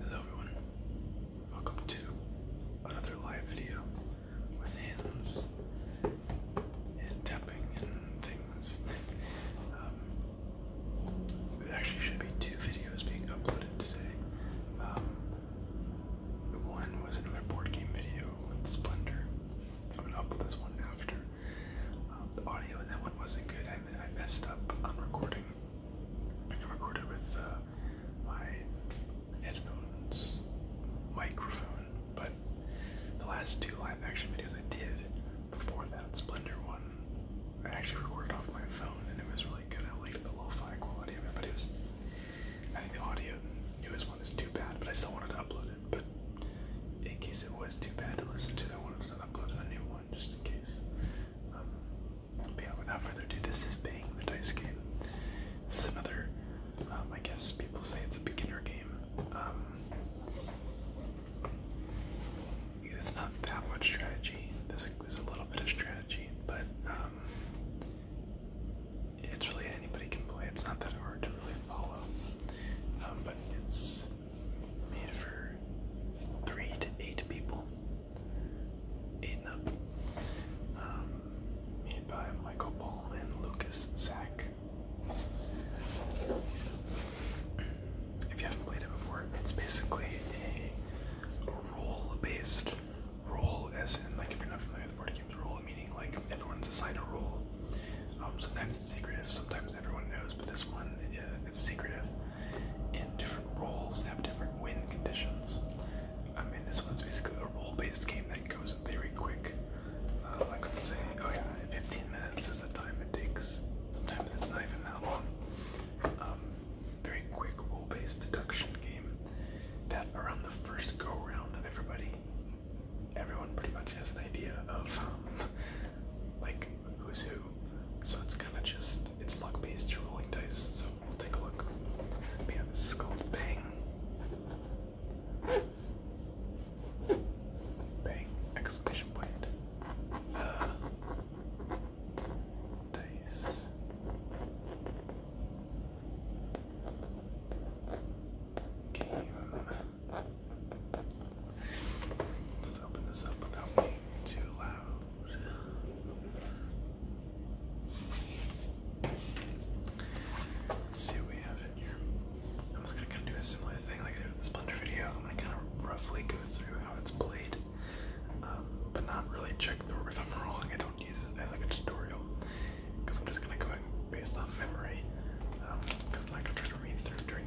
Hello everyone, welcome to another live video with hands and tapping and things. Um, there actually should be two videos being uploaded today. Um, one was another board game video with Splendor. I'm gonna upload this one after. Um, the audio in that one wasn't good. I messed up on recording I recorded with uh, my headphones microphone, but the last two live action videos I did before that Splendor one, I actually recorded off my phone and it was really good. I liked the low fi quality of it, but it was I think the audio the newest one is too bad, but I still wanted to upload it. But in case it was too bad to listen to, I wanted to upload a new one just in case. Um, without further ado, this is Bang the Dice Game. This another, um, I guess people say it's a beginner game. Um, it's not that much strategy. There's a, little bit of strategy, but it's really anybody can play. It's not that hard to really follow, but it's made for three to eight people. Eight and up. Um, made by Michael Ball and Lucas Sack. If you haven't played it before, it's basically a, role-based role, as in, like, if you're not familiar with party games, role meaning like everyone's assigned a role. Um, sometimes it's secretive, sometimes everyone knows, but this one, yeah, it's secretive and different roles have different win conditions. I mean, this one's basically a role-based game that goes very quick. Uh, I could say, 15 minutes is the time it takes. Sometimes it's not even that long. Um, very quick role-based deduction game that around the first go-round of everybody, everyone pretty much has an idea of um, like who's who. So it's kind of just it's luck based. you rolling dice. So we'll take a look. But this is called Bang. Bang! Exclamation point. Uh, dice. Game. Let's open this up without being too loud. see what we have in here. I'm just gonna kind of do a similar thing like I did with the Splinter video. I'm gonna kind of roughly go through how it's played, um, but not really check the. If I'm wrong, I don't use it as like a tutorial because I'm just gonna go in based on memory. Um, cause I'm not gonna read through during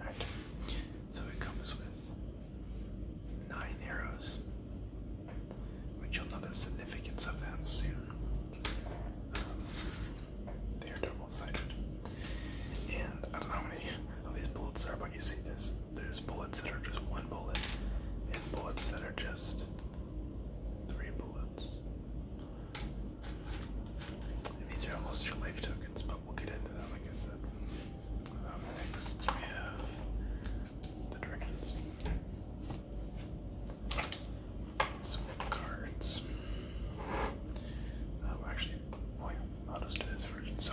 Alright, so it comes with nine arrows which you'll know the significance of that soon. Um, they are double-sided. And I don't know how many of these bullets are, but you see this. There's bullets that are just one bullet, and bullets that are just three bullets. these are almost your life tokens, but we'll get into that, like I said. Um, next, we have the dragons. Swap cards. Uh, actually, well, oh, yeah, I'll just this version? So,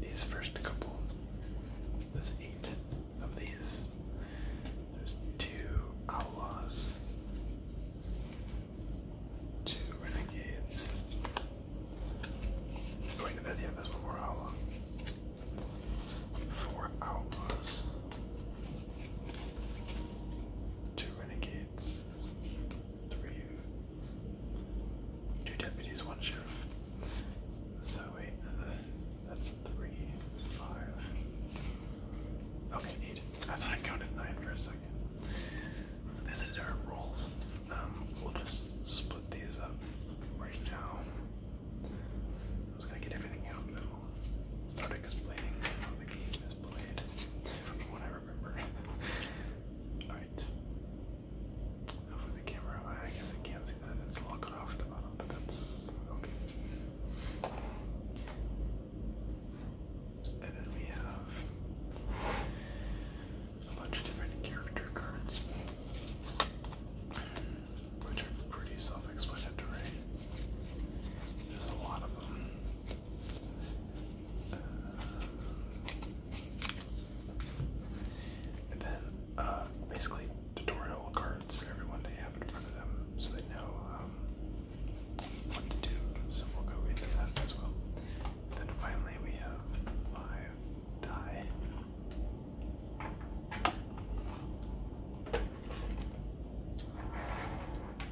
these first couple, there's eight of these. There's two outlaws, two renegades. Wait, no, that's, yeah, that's one more outlaw four outlaws, two renegades, three, two deputies, one sheriff. So wait, uh, that's three, five. Okay, neat. I thought I counted nine for a second. So these are different rolls. Um, we'll just split these up right now. I was gonna get everything out and then will start explaining how the game is played from what I remember. Alright. For the camera, I guess I can't see that. It's locked off the bottom, but that's okay. And then we have a bunch of different character cards which are pretty self-explanatory. There's a lot of them. Uh, and then, uh, basically tutorial cards for everyone they have in front of them so they know um, what to do. So we'll go into that as well. Then finally we have five die.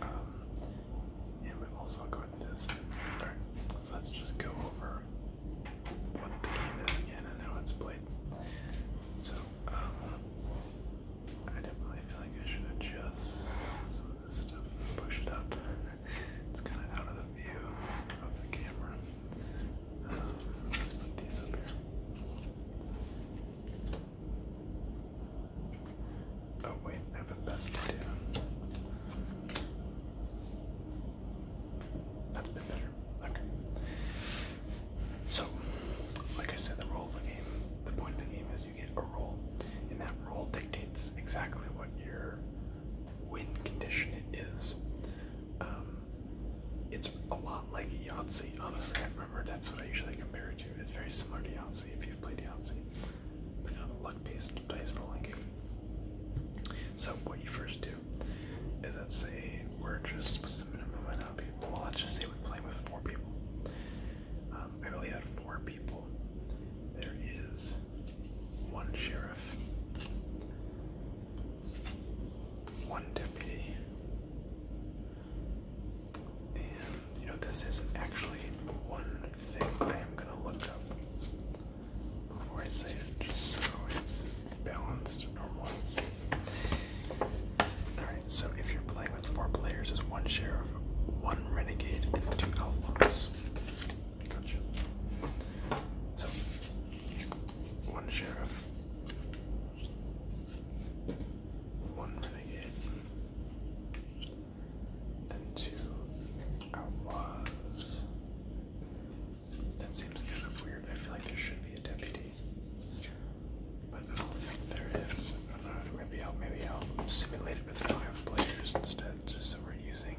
Um, and we've also got this. Alright, let's just go over what the game is again and how it's played. So, um, I definitely feel like I should adjust some of this stuff push it up. it's kind of out of the view of the camera let's put these up here. Oh wait, I have a best idea. That's a bit better. Okay. So, like I said, the role of the game, the point of the game is you get a role, and that role dictates exactly what your win condition is. Um, it's a lot like Yahtzee, honestly. I remember that's what I usually compare it to. It's very similar to Yahtzee if you've played Yahtzee, but a luck based dice rolling game. So, what you first do is let's say we're just what's the minimum amount of people? Well, let's just say we are playing with four people. Um, I believe out four people, there is one sheriff, one deputy. And you know, this is actually one thing I am gonna look up before I say it, just so it's balanced normal. Alright, so if you're playing with four players, there's one sheriff, one renegade, and two outlaws. Gotcha. So one sheriff, one renegade, and two outlaws. That seems kind of weird. I feel like there should be a deputy, but I don't think there is. Maybe I'll maybe I'll simulate it with five players instead, just so we're using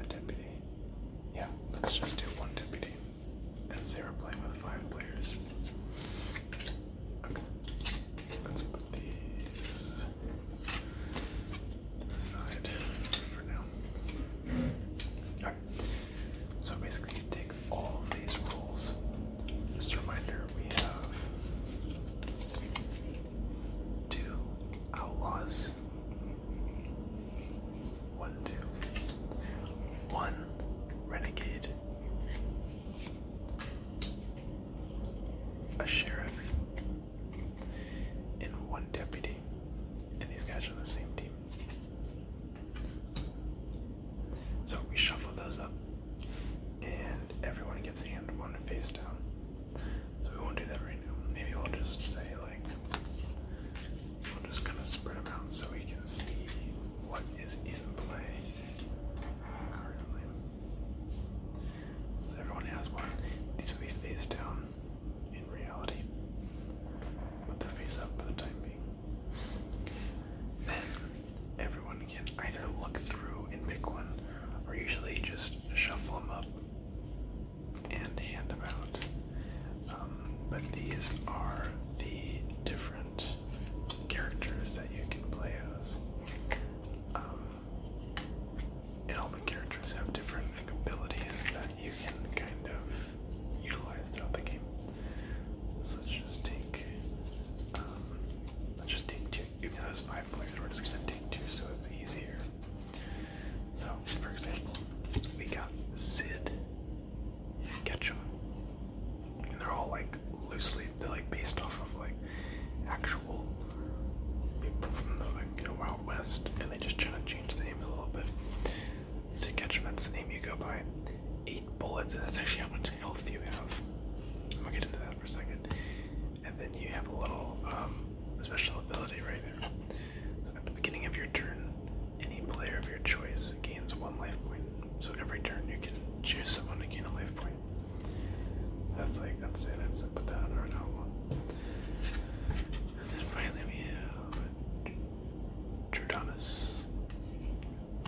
a deputy. Yeah, let's just do one deputy and say we playing with five players. Okay, let's put these aside for now. so basically, you take all of these rules. Just a reminder we have two outlaws one, two, one renegade. A sheriff. And one deputy. And these guys are on the same team. So we shuffle those up. And everyone gets a hand one face down. So we won't do that right now. Maybe we'll just say like We'll just gonna spread them out so we can see what is in play everyone has one. These would be face down in reality. Put the face up for the time being. Then everyone can either look through and pick one, or usually just shuffle them up and handabout. Um, but these are the different characters that you can play as. Um, and all the characters have different like, abilities that you can kind of utilize throughout the game. So let's just take, um, let's just take two. Even though there's five players, we're just gonna take two so it's easier. So, for example, we got Sid Ketchum. And they're all like loosely, they're like based off of like actual people from the Wild West, and they just try to change the names a little bit. Ketchum, that's the name you go by. Eight bullets, and that's actually how much health you have. I'm gonna get into that for a second. And then you have a little um, special ability right so at the beginning of your turn, any player of your choice gains one life point. So every turn you can choose someone to gain a life point. That's like that's say That's a Patana that on our And then finally we have Jordanus,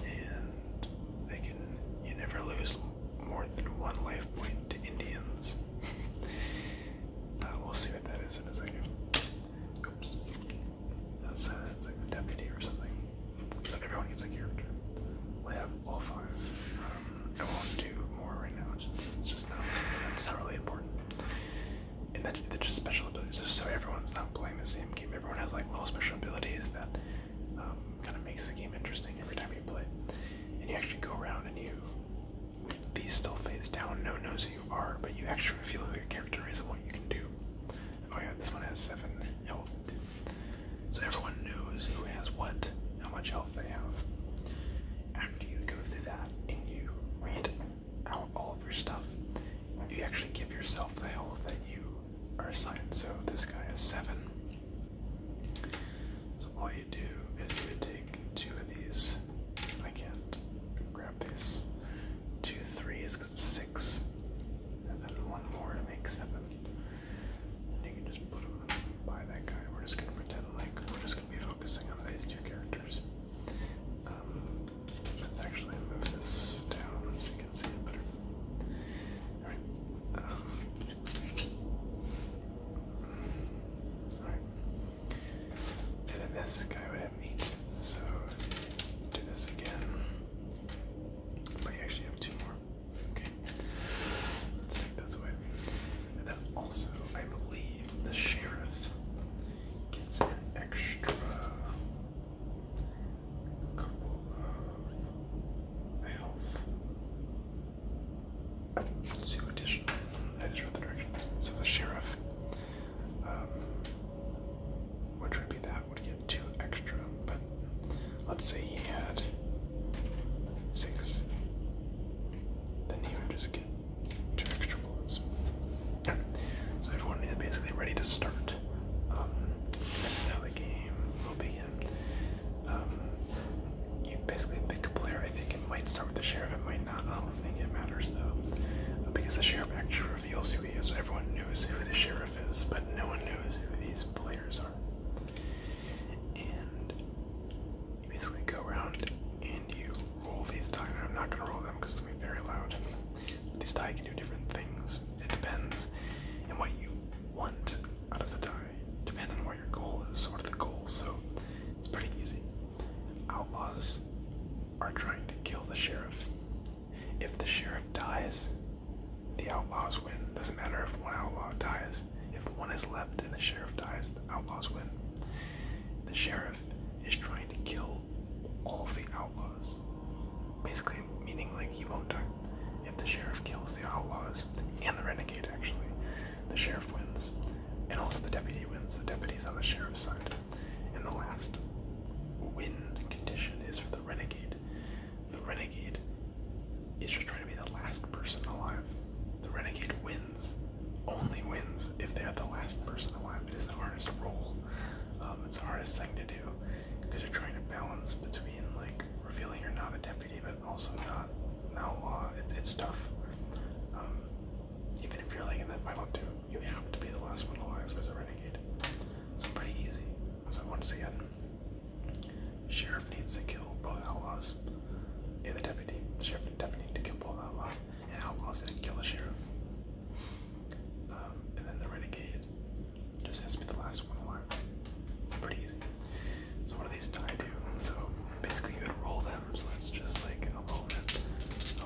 and they can you never lose more than one life point to Indians. Uh, we'll see what that is in a second. Oops. That's uh, like the deputy or something. So everyone gets a character. we have all five. Um, I won't do more right now. just, just not. That's not really important. And that, they just special abilities. so everyone's not playing the same game. Everyone has like little special abilities that um, kind of makes the game interesting every time you play. And you actually go around and you with these still face down, no one knows who you are, but you actually reveal who your character is and what you can do. Oh yeah, this one has seven health So everyone knows who has what, how much health they have. After you go through that and you read out all of your stuff, you actually give yourself the health that you are assigned. So this guy has seven. So all you do is you would take two of these. I can't grab these. Two threes because it's six. And then one more to make seven. you can just put them by that guy. We're just gonna pretend like we're just gonna be focusing on these two characters. Um, let's actually move this down so you can see it better. Alright. Um, and then this guy would have eight. So do this again. But you actually have two more. Okay. Let's take this away. And then also, I believe the sheriff gets an extra couple of health. Two additional. I just read the directions. So the sheriff, um, which would be that, would get two extra. But let's say he had six, then he would just get two extra bullets. So everyone is basically ready to start. Um, this is how the game will begin. Um, you basically pick a player. I think it might start with the sheriff. It might not do think it matters though, because the sheriff actually reveals who he is. So everyone knows who the sheriff is, but no one knows who these players are. And you basically go around and you roll these die. I'm not gonna roll them because it's gonna be very loud. these die can do different things. It depends, on what you want out of the die, depending on what your goal is. what are the goals? So it's pretty easy outlaws are trying to kill the sheriff. If the sheriff dies, the outlaws win. Doesn't matter if one outlaw dies. If one is left and the sheriff dies, the outlaws win. The sheriff is trying to kill all the outlaws. Basically, meaning like he won't die if the sheriff kills the outlaws and the renegade, actually. The sheriff wins, and also the deputy wins. The deputy's on the sheriff's side. And the last win condition is for the renegade. The renegade is just trying to be the last person alive. The renegade wins, only wins if they're the last person alive. It is the hardest role. Um, it's the hardest thing to do because you're trying to balance between like revealing you're not a deputy, but also not outlaw. It, it's tough. Um, even if you're like in that final two, you have to be the last one alive as a renegade. So pretty easy. So once again, sheriff needs to kill both outlaws. And the deputy, sheriff and deputy need to kill both outlaws, and outlaws need to kill the sheriff. Um, and then the renegade just has to be the last one alive. It's pretty easy. So what do these die do? So basically, you would roll them items. Let's just like I'll roll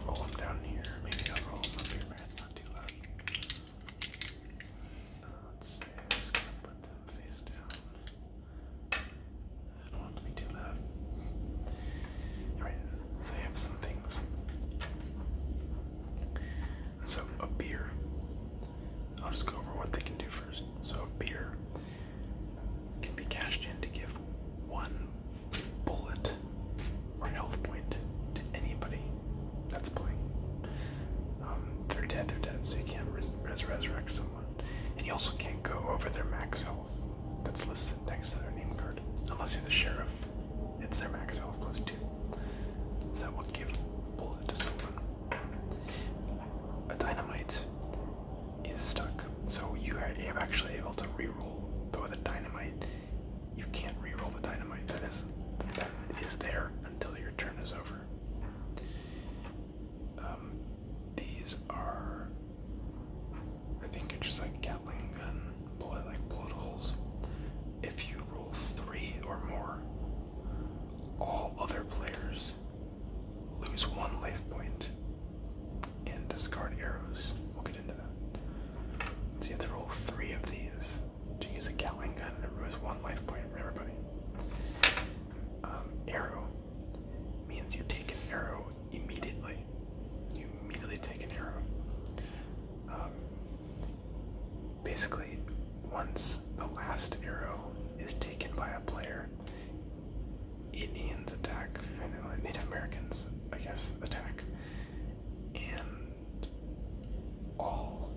roll them down here. Maybe I'll roll them up here. it's not too loud. Uh, let's see. I'm just gonna put them face down. I don't want to be too loud. Alright, so I have some things. So, a beer. I'll just go over what they can do first. So, a beer can be cashed in to give one bullet or health point to anybody that's playing. Um, they're dead, they're dead, so you can't res resurrect someone. And you also can't go over their max health that's listed next to their name card. Unless you're the sheriff, it's their max health plus two. So that will give bullet to someone. A dynamite is stuck. So you are actually able to reroll, but the dynamite, you can't reroll the dynamite. That is that is there until your turn is over. Um, these are, I think it's just like Gatling gun like bullet holes. If you roll three or more, all other players lose one life point, and discard arrows. We'll get into that. So you have to roll three of these to use a Gatling gun, and it lose one life point for everybody. Um, arrow means you take an arrow immediately. You immediately take an arrow. Um, basically, once the last arrow is taken by a player, Indians attack, Native Americans, I guess, attack, and all.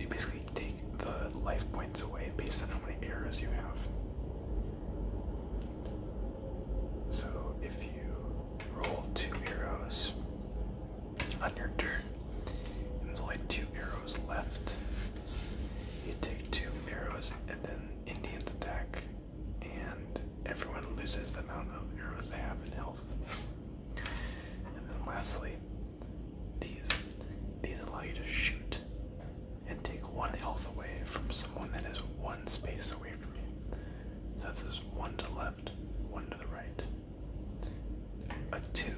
You basically take the life points away based on how many arrows you have. So if you roll two arrows, on your turn. there's only two arrows left. You take two arrows and then Indians attack, and everyone loses the amount of arrows they have in health. and then lastly, these. These allow you to shoot and take one health away from someone that is one space away from you. So that's just one to the left, one to the right, a two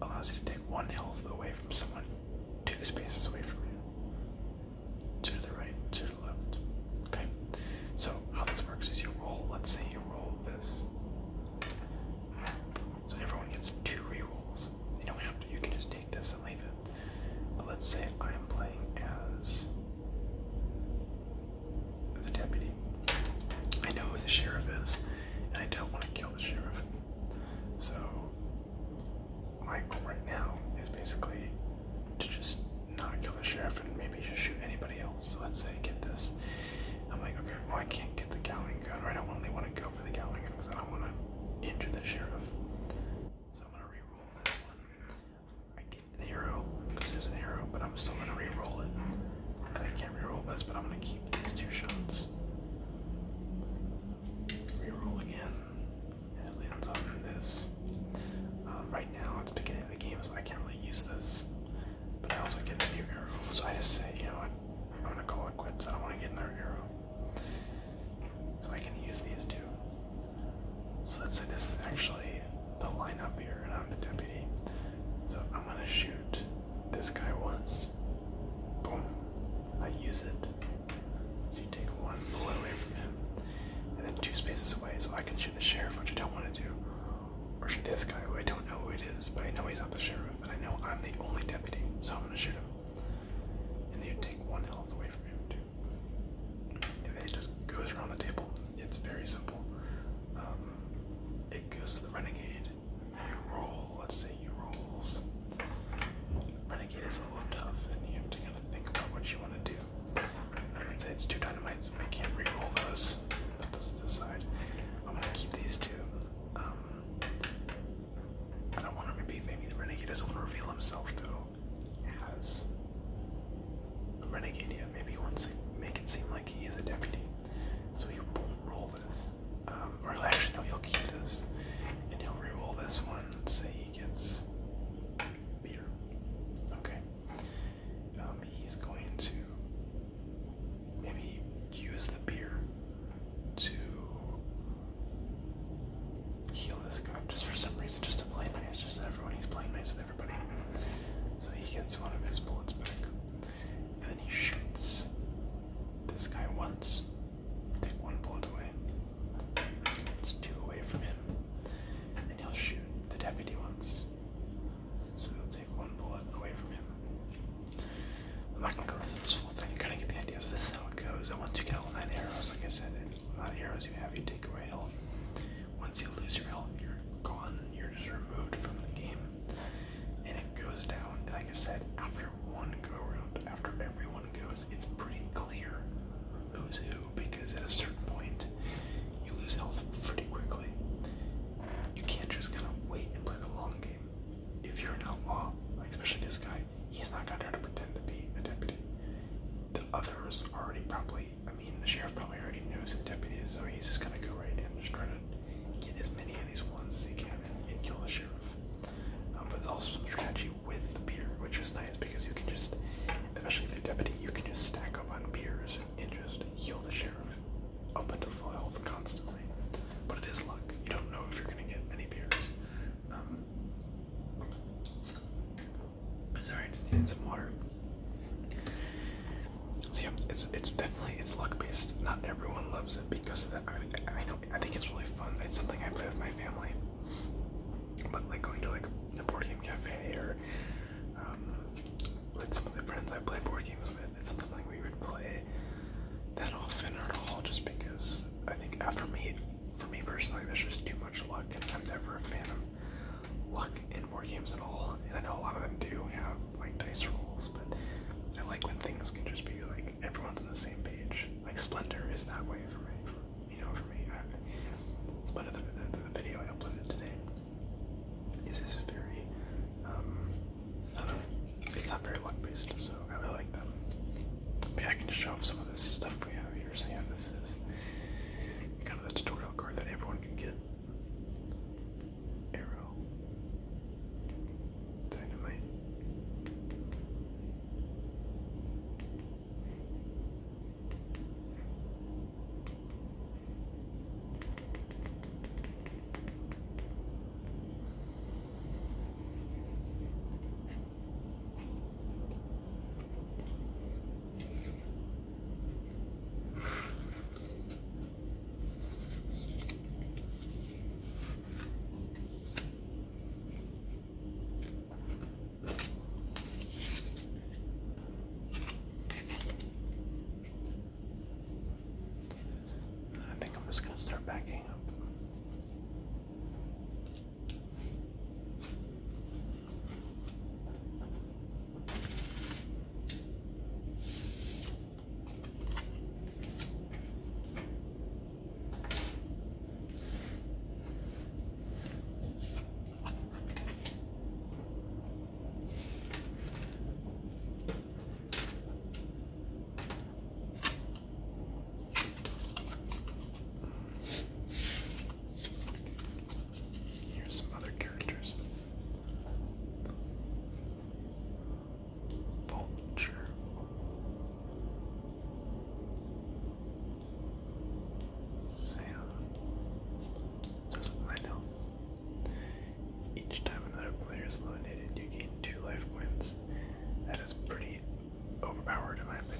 allows you to take one health away from someone two spaces away from you. Two to the right, two to the left. Okay. So how this works is you roll, let's say you roll this. So everyone gets two re-rolls. You don't have to you can just take this and leave it. But let's say I am playing as the deputy. I know who the sheriff is and I don't want to kill the sheriff. So my goal right now is basically to just not kill the sheriff and maybe just shoot anybody else. So let's say I get this. I'm like, okay, well I can't get the Gatling gun, or I don't really want to go for the Gatling gun because I don't want to injure the sheriff. So I'm gonna reroll this one. I get an arrow because there's an arrow, but I'm still gonna reroll it. And I can't reroll this, but I'm gonna keep these two shots. Reroll again. it lands on this. Um, right now, it's beginning of the game, so I can't really use this. But I also get a new arrow, so I just say, you know what, I'm gonna call it quits. I don't want to get another arrow. So I can use these two. So let's say this is actually the lineup here, and I'm the deputy. So I'm gonna shoot this guy wants. Boom. I use it. So you take one bullet away from him, and then two spaces away, so I can shoot the sheriff, which I don't want to do, or shoot this guy, I don't know who it is, but I know he's not the sheriff, and I know I'm the only deputy, so I'm gonna shoot him. And you take one health away from him too. it just goes around the table. It's very simple. Um, it goes to the renegade, Renegade. You roll, let's say you rolls. Renegade is a little tough, and you have to kind of think about what you want to do. I would say it's two dynamites. I can't re-roll those. Put those to the side. I'm gonna keep these two. Um, I don't want to repeat. Maybe the renegade doesn't want to reveal himself though. As a renegade, yeah. Maybe he wants to make it seem like he is a deputy. So he won't roll this. Um, or actually, no, he'll keep this. And he'll re-roll this one. Let's say he gets beer. Okay. Um, he's going to maybe use the beer to heal this guy. Just for some reason, just to play nice. Just everyone, he's playing nice with everybody. So he gets one of his bullets back and then he shoots this guy once. Take one bullet away. It's two away from him. And then he'll shoot the deputy once. So he'll take one bullet away from him. I'm not gonna go through this full thing. You kind to get the idea. So this is how it goes. And once you get all nine arrows, like I said, nine arrows you have, you take away health. Once you lose your health, you're gone. You're just removed from the game and it goes down. Like I said, after one go round, after everyone goes, it's pretty clear who's who because at a certain point, you lose health pretty quickly. You can't just kind of wait and play the long game. If you're an outlaw, like especially this guy, he's not gonna try to pretend to be a deputy. The others already probably, I mean, the sheriff probably already knows the deputy is, so he's just gonna go right in and just try to get as many of these ones as you can and, kill the sheriff. Um, but there's also some strategy with the beer, which is nice because you can just, especially if you're deputy, you can just stack up on beers and just heal the sheriff up until full health constantly. But it is luck. You don't know if you're gonna get many beers. Um, sorry, I just need some water yeah, it's it's definitely it's luck based. Not everyone loves it because of that. I, I know I think it's really fun. It's something I play with my family. But like going to like a board game cafe or um, with some of the friends I play board games with, it's something like we would play that often or at all. Just because I think after uh, me, for me personally, there's just too much luck, and I'm never a fan of luck in board games at all, and I know a lot of them do have like dice rolls, but I like when things can just be like everyone's on the same page. Like Splendor is that way for me, you know. For me, I, Splendor, the, the, video I uploaded today, is just very, um, I don't know, it's not very luck based, so I really like that. But yeah, I can just show off some of this stuff we have here. See how this is kind of the tutorial card that everyone can get arrow, dynamite. I think I'm just going to start backing up. Here's some other characters. Vulture. Sam. I know. Each time another player is eliminated, you gain two life points. That is pretty overpowered, in my opinion.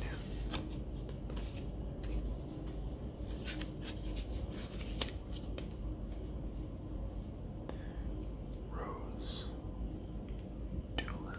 Rose Doolin.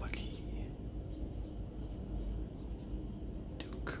Lucky Duke.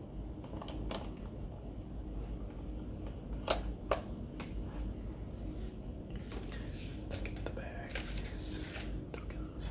Let's get the bag of these tokens.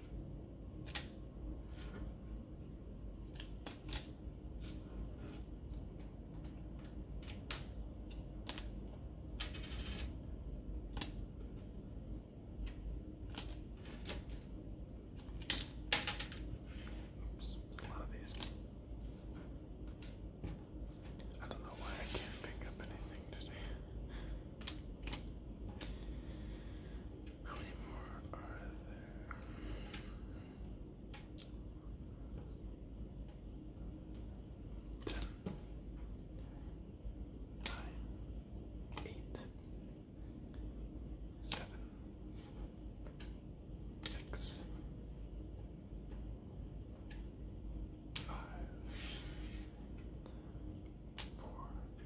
Oops, a lot of these. I don't know why I can't pick up anything today. How many more are there? Ten, nine, eight, seven, six, five, four.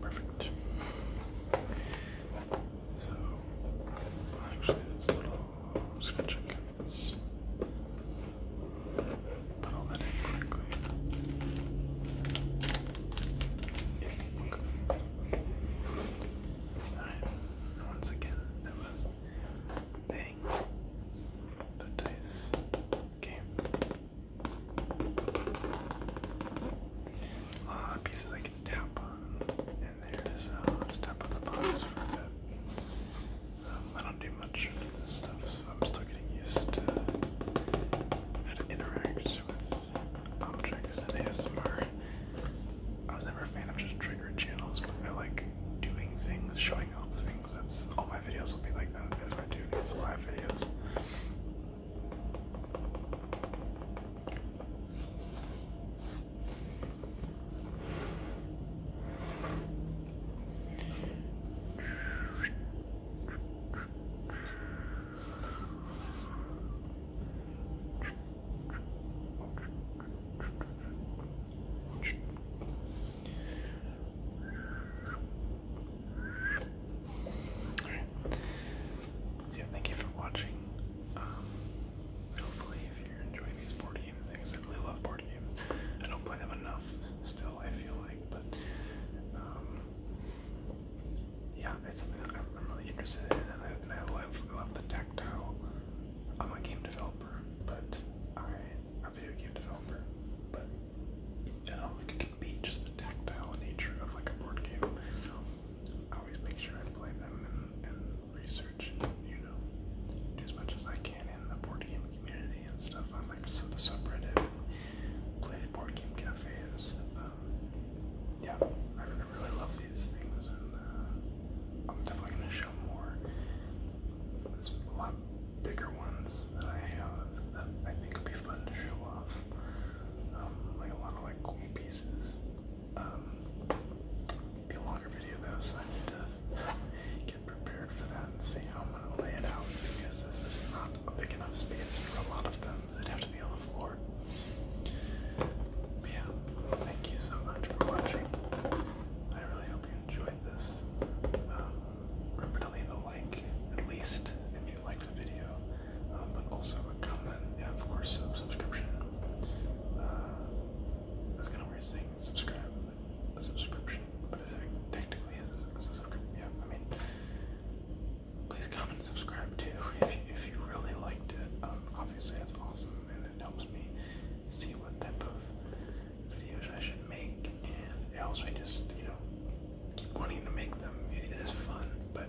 Perfect. So, actually, it's a little. I'm just gonna check if this. Put all that in correctly. Yeah, okay. Alright, once again, that was Bang the Dice Game. A pieces I can tap on, and there's, uh, just tap on the box for a um, I don't do much of this stuff, so I'm still getting used to how to interact with um, and ASMR. I was never a fan of just triggered channels, but I like doing things, showing off things. That's all my videos will be like that if I do these live videos yeah, thank you for watching. Um, hopefully, if you're enjoying these board game I really love board games. I don't play them enough still, I feel like, but um, yeah, it's something that I'm, really interested in, and I, and I love love the tactile. I'm a game developer, but I a video game developer, but I don't think it can beat just the tactile nature of like a board game. I always make sure I play them and, research, you know, do as much as I can in the board game community and stuff. on like some of the subreddit, play board game cafes. Uh, yeah, I really love these things, and uh, I'm definitely gonna show more. There's a lot bigger ones that I have that I think would be fun to show off, um, like a lot of like cool pieces. Um, be a longer video though, so I need to get prepared for that and see how I'm gonna lay it out because this is not a big enough space for a lot of them. It'd have to be a yeah, thank you so much for watching. I really hope you enjoyed this. Um, remember to leave a like, at least if you liked the video, um, but also a comment and of course a subscription. that's uh, kind of weird saying subscribe, a subscription, but it technically a subscription. Yeah, I mean, please comment and subscribe too if you, if you really liked it. Um, obviously, that's awesome and it helps me see what type of videos I should make, and it helps me just, you know, keep wanting to make them. It is fun, but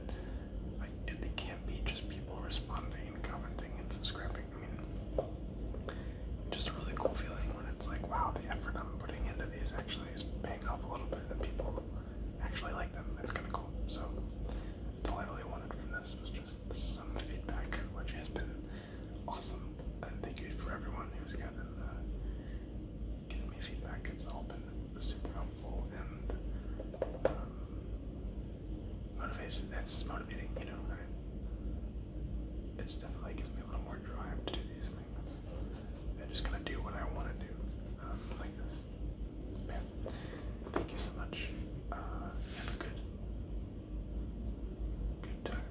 I, it can't be just people responding and commenting and subscribing. I mean, just a really cool feeling when it's like, wow, the effort I'm putting into these actually is paying off a little bit, that people actually like them. It's kind of cool. So all I really wanted from this was just some feedback, which has been awesome. And uh, thank you for everyone who's kind of giving me feedback. It's all been super helpful and um, motivation. That's motivating, you know. it's definitely gives me a little more drive to do these I'm just gonna do what I want to do, um, like this. Yeah. Thank you so much. Uh, have a good, good time.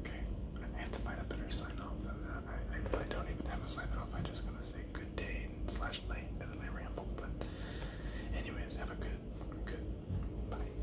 Okay, I have to find a better sign off than that. I, I don't even have a sign off. I'm just gonna say good day slash night, and then I ramble. But, anyways, have a good, good, bye.